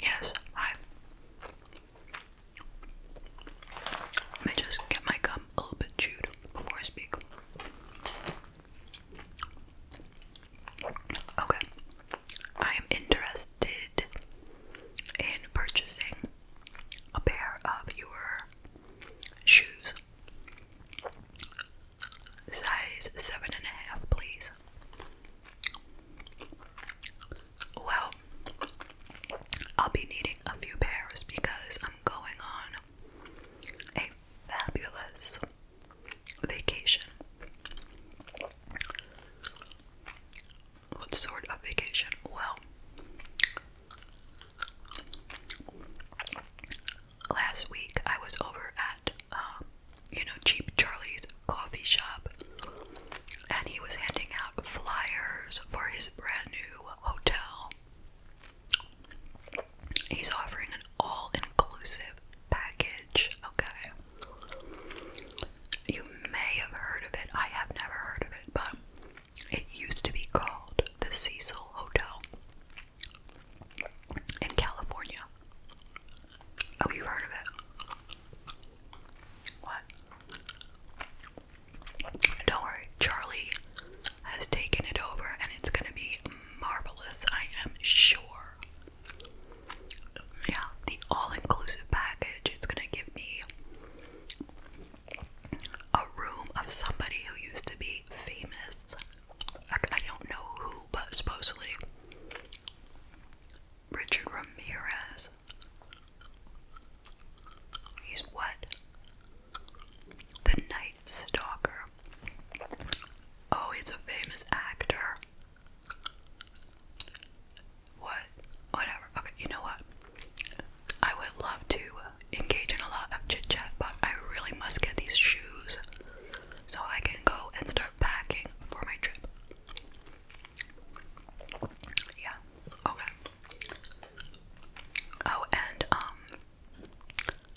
Yes, hi. Let me just get my gum a little bit chewed before I speak. Okay. I am interested in purchasing a pair of your shoes. Size seven and a half, please. Well, I'll be needing a few pairs because I'm going on a fabulous vacation. What sort of vacation? Well, Last week I was over at, um, you know, Cheap Charlie's coffee shop, and he was handing out flyers for his brand new hotel. He's offering an all inclusive package, okay? You may have heard of it, I have never heard of it, but it used to be called the Cecil Hotel in California. Oh, you heard of it? What? Don't worry, Charlie has taken it over and it's gonna be marvelous, I am sure. Yeah, the all inclusive package. It's gonna give me a room of somebody who used to be famous. I, don't know who, but supposedly Richard Ramirez. He's what? The Night Stalker. Oh, he's a famous actor what, whatever. Okay, you know what? I would love to engage in a lot of chit chat, but I really must get these shoes so I can go and start packing for my trip. Yeah, okay. Oh, and, um,.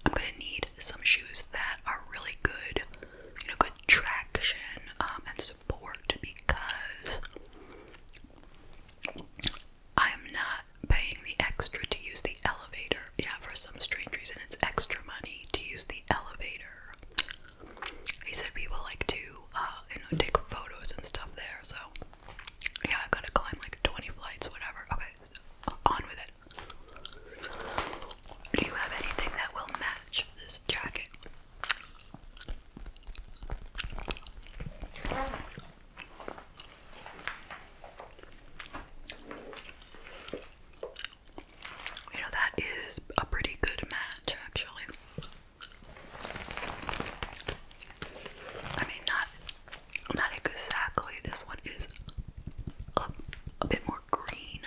I'm gonna need some shoes that are really good, you know, good traction um, and support because I'm not paying the extra to use the elevator. Yeah, for some strange reason, it's extra money to use the elevator. He said people like to, uh, you know, take photos and stuff there. So, yeah, i am going to climb like 20 flights, whatever. Okay, on with it. Do you have anything that will match this jacket? You know, that is a pretty good match, actually. I mean, not not exactly. This one is a, bit more green,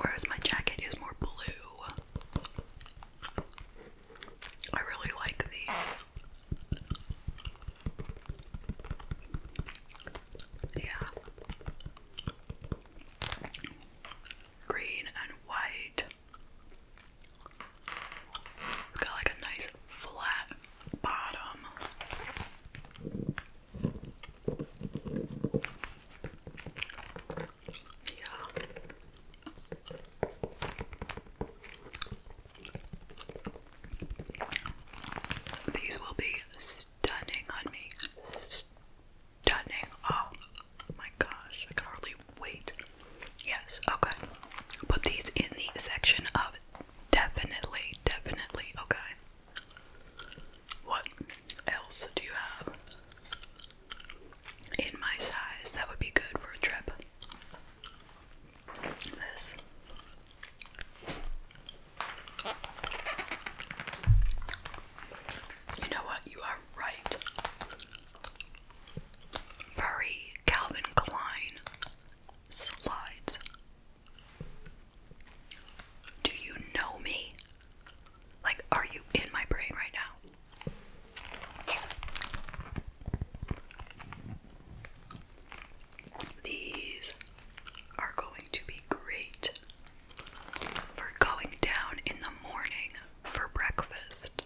whereas my jacket is more blue. I really like these. Yeah. Green and white. It's got like a nice flat bottom. Yeah. These will be stunning on me. Stunning. Oh my gosh, I can hardly wait. Yes, okay. Put these in the section of definitely, definitely, okay. What else do you have? in my size. That would be good for a trip. This. You know what? You are right. Furry Calvin Klein slides. Do you know me? Like, are you in my brain right now? These are going to be great for going down in the morning for breakfast.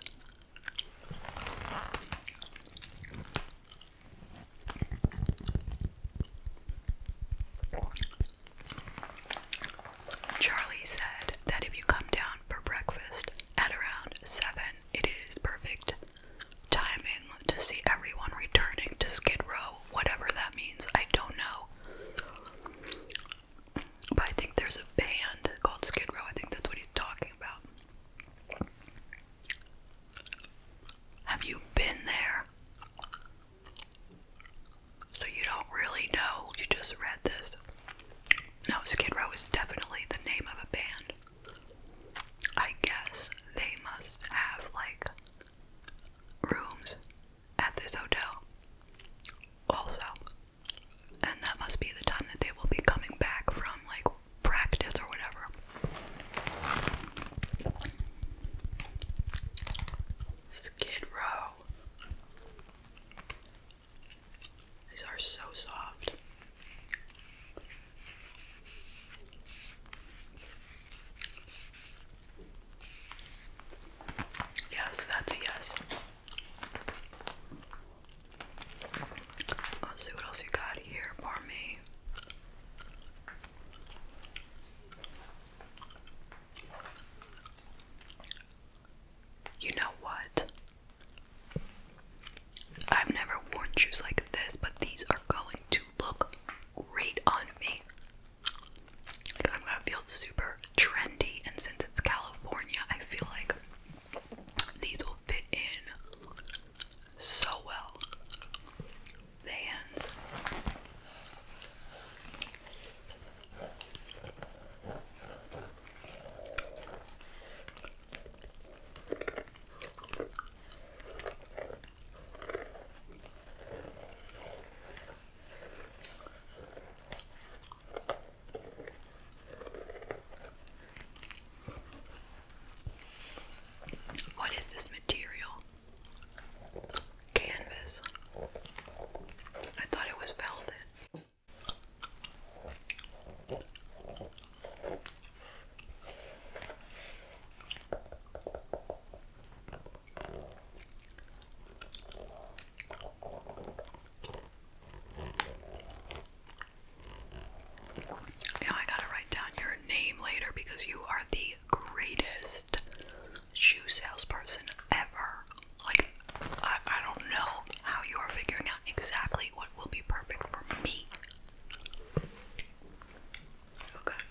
Charlie said that if you come down for breakfast at around 7, it is perfect timing to see everyone returning to Skid Row, whatever that means, I don't know. But I think there's a band called Skid Row, I think that's what he's talking about. Have you been there? So you don't really know, you just read this. No, Skid Row is definitely the name of a band. I guess they must have like rooms at this hotel also. And that must be the time that they will be coming back from like practice or whatever. Skid Row. These are so soft. Yes, that's a yes. Let's see what else you got here for me. You know what? I've never worn shoes like this, but these are going to look great on me. I'm gonna feel super trendy, and since it's California, I feel like these will fit in so well. Vans. What is this material? Canvas. I thought it was velvet. You I gotta write down your name later because you are the greatest shoe salesperson ever. Like, I, I don't know how you are figuring out exactly what will be perfect for me. Okay.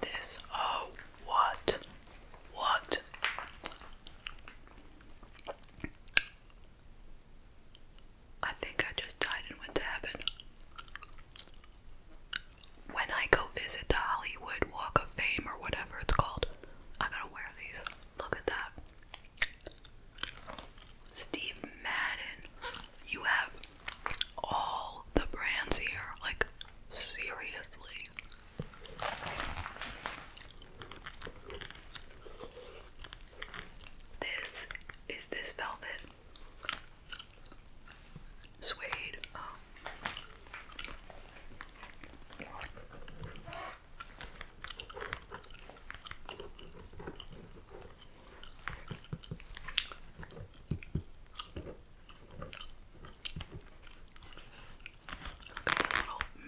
This, oh, what? What? I think I just died and went to heaven when I go visit the Hollywood Walk of Fame or whatever it's called, I am going to wear these. Look at that. Steve Madden. You have all the brands here. Like, seriously. This is this velvet suede. Um, look at this little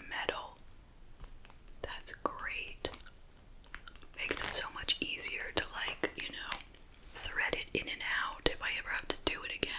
metal. That's great. Makes it so much easier to, like, you know, thread it in and out if I ever have to do it again.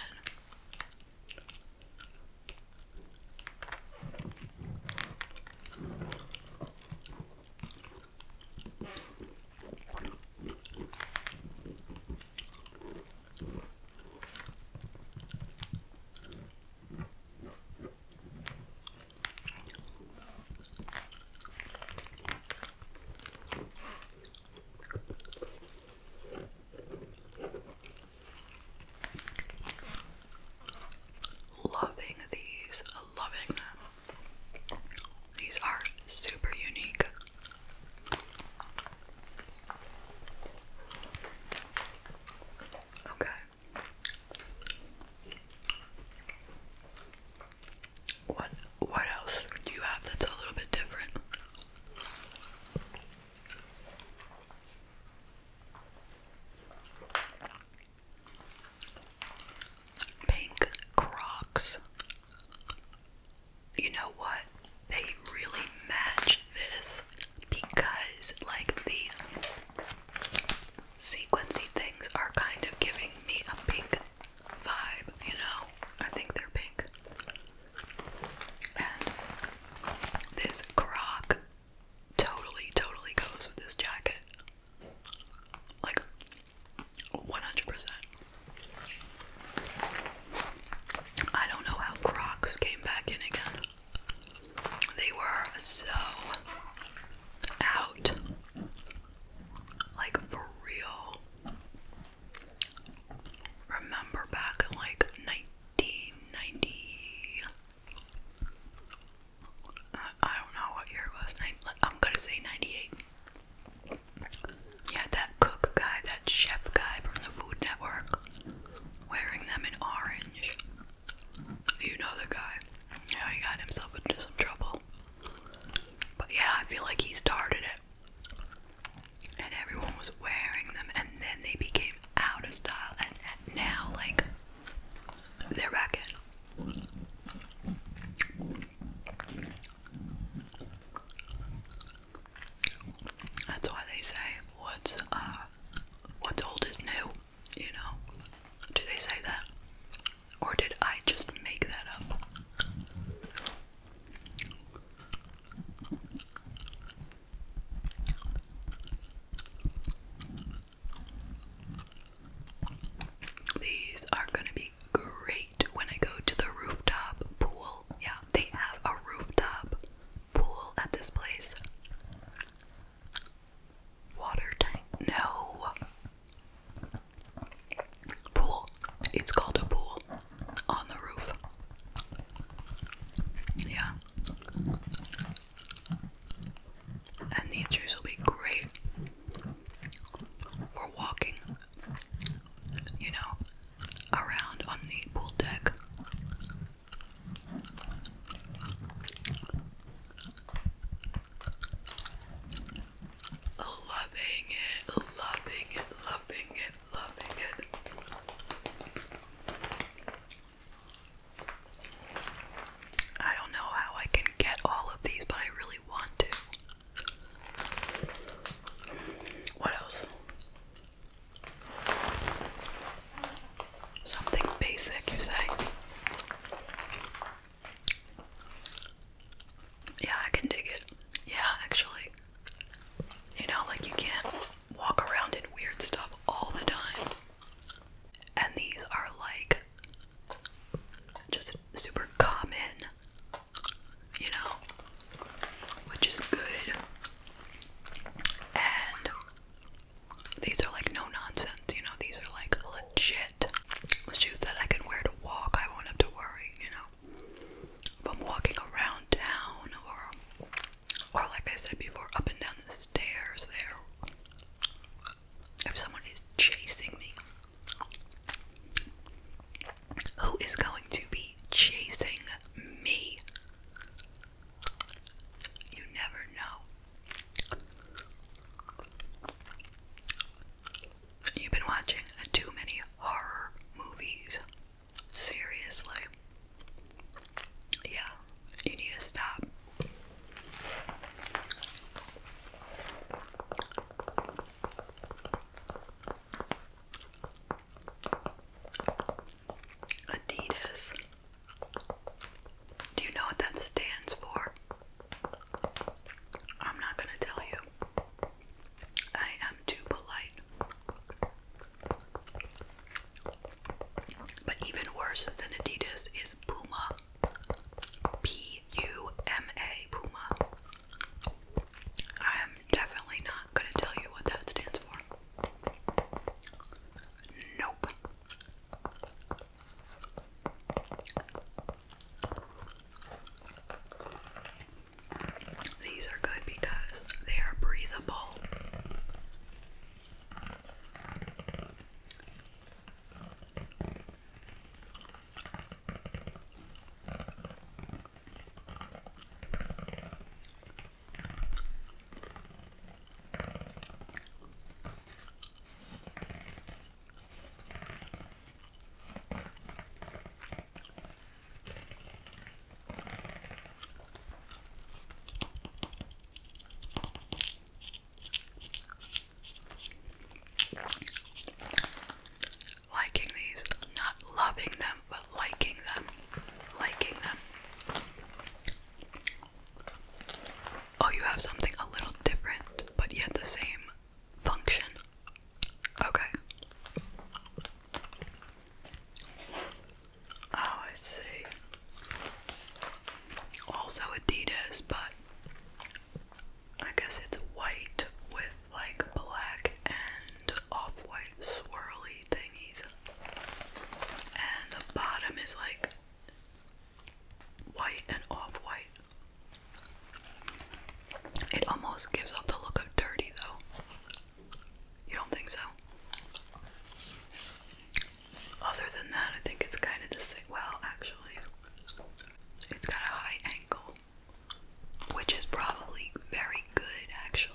Loving these, loving them. These are super unique. Okay. What what else do you have that's a little bit different? Pink Crocs. You know what? They really match this because like the sequency things are kind of giving me a pink vibe, you know? I think they're pink. And this croc totally, totally goes with this jacket. Like, 100%. I don't know how crocs came back in again. They were so out. Like, for real remember back in like 1990. I, don't know what year it was. I'm gonna say 98. Yeah, that cook guy, that chef guy from the Food Network, wearing them in orange. You know the guy. Yeah, he got himself into some trouble. But yeah, I feel like he started it and everyone was wearing them, and then they became out of style, and now like they're back in. That's why they say what's uh what's old is new, you know. Do they say that? Or did I just make that up? These are gonna be great when I go to the rooftop pool. Yeah, they have a rooftop pool at this place. Water tank? No. Pool. It's called a pool on the roof. Yeah. And these shoes will be great for walking, you know, around on the pool deck. Loving it, loving it, loving it, loving it. I don't know how I can get all of these, but I really want to. What else? Something basic, you say? Yeah, I can dig it. Yeah, actually. You know, like you can't walk around in weird stuff all the time. And these are like just super common, you know, which is good. And these are like no nonsense, you know, these are like legit shoes that I can wear to walk. I won't have to worry, you know if I'm walking around town or or like I said before, up and down the stairs there if someone is chasing me who is going to be chasing me? You never know. You've been watching too many horror movies. Seriously. Yeah, you need to stop. Adidas. Do you know what that stands for? I'm not going to tell you. I am too polite. But even worse than Adidas is Puma. P U M A, Puma. I am definitely not going to tell you what that stands for. Nope. These are good because they are breathable. Liking these, not loving them, but liking them, liking them. Oh, you have something a little different, but yet the same function. Okay. Oh, I see. Also Adidas, but I guess it's white with like black and off-white swirly thingies. And the bottom is like white and off-white. It almost gives off the look of dirty, though. You don't think so? Other than that, I think it's kind of the same. Well, actually, it's got a high ankle, which is probably very good, actually.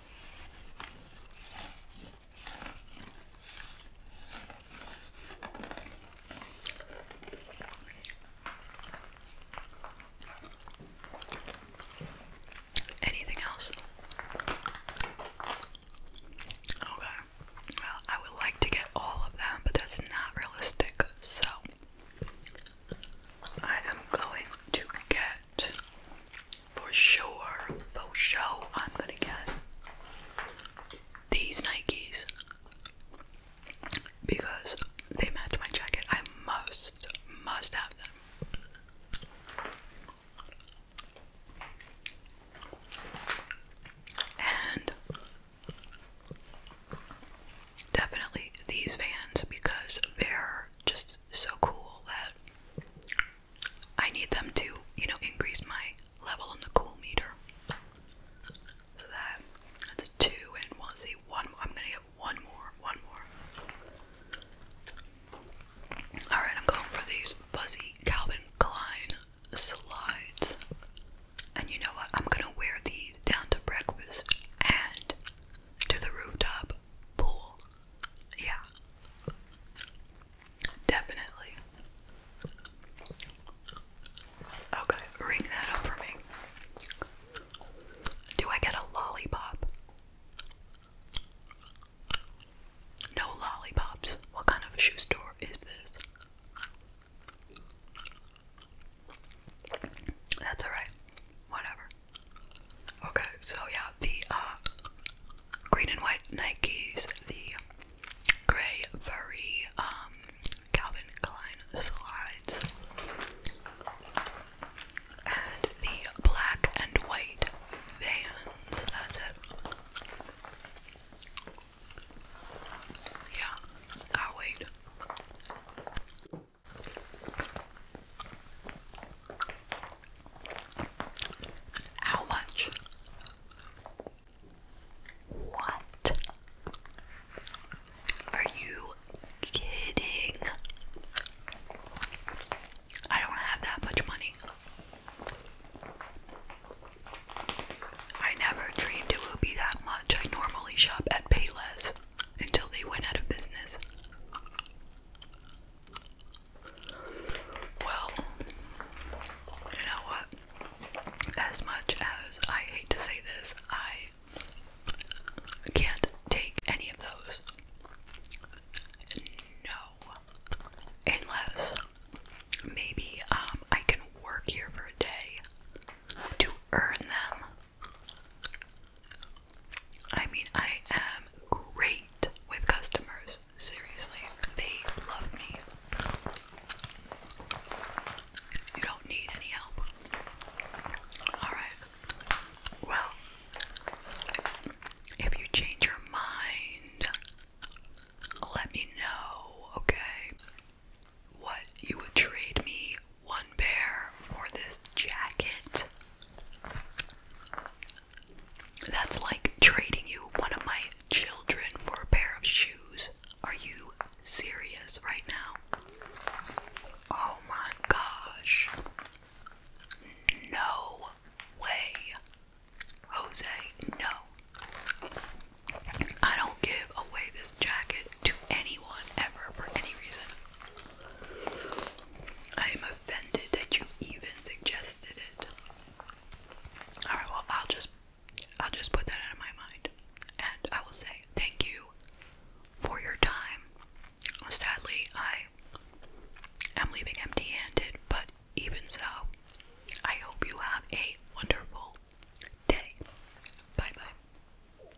Anything else? Okay. Well, I would like to get all of them, but that's not realistic. So I am going to get for sure. For sure, I'm gonna get these Nikes because they match my jacket. I must, must have them. And definitely these vans because they're just so cool that I need them to, you know, increase my level on the cool meter. So that that's a two, and one. see one. More. I'm gonna get one more, one more. All right, I'm going for these fuzzy Calvin Klein slides, and you know what? I'm gonna wear these down to breakfast and to the rooftop pool yeah. Definitely. Okay, ring that up for me. Do I get a lollipop? No lollipops. What kind of shoe store is this? That's alright. Whatever. Okay, so yeah, the uh, green and white Nikes, the gray furry um, Calvin Klein slides, and the black and white vans. That's it. Yeah, i wait. How much? What? Are you kidding? I don't have that much money. I never dreamed it would be that much. I normally shop at Payless until they went out of business. Well, you know what? As much as I hate to say this, I can't take any of those. No. Unless maybe um I can work here for a day to earn them. I mean, I am great with customers. Seriously, they love me. You don't need any help. Alright. Well, if you change your mind, let me know, okay? What you would trade me one pair for this jacket. That's like trading you one of my children for a pair of shoes. Are you serious right now? Oh my gosh. No way. Jose, no. I don't give away this jacket to anyone ever for any reason. I am offended that you even suggested it. Alright, well I'll just I'll just put that out of my mind. And I will say thank you for your time. Sadly, I am leaving empty handed, but even so, I hope you have a wonderful day. Bye bye.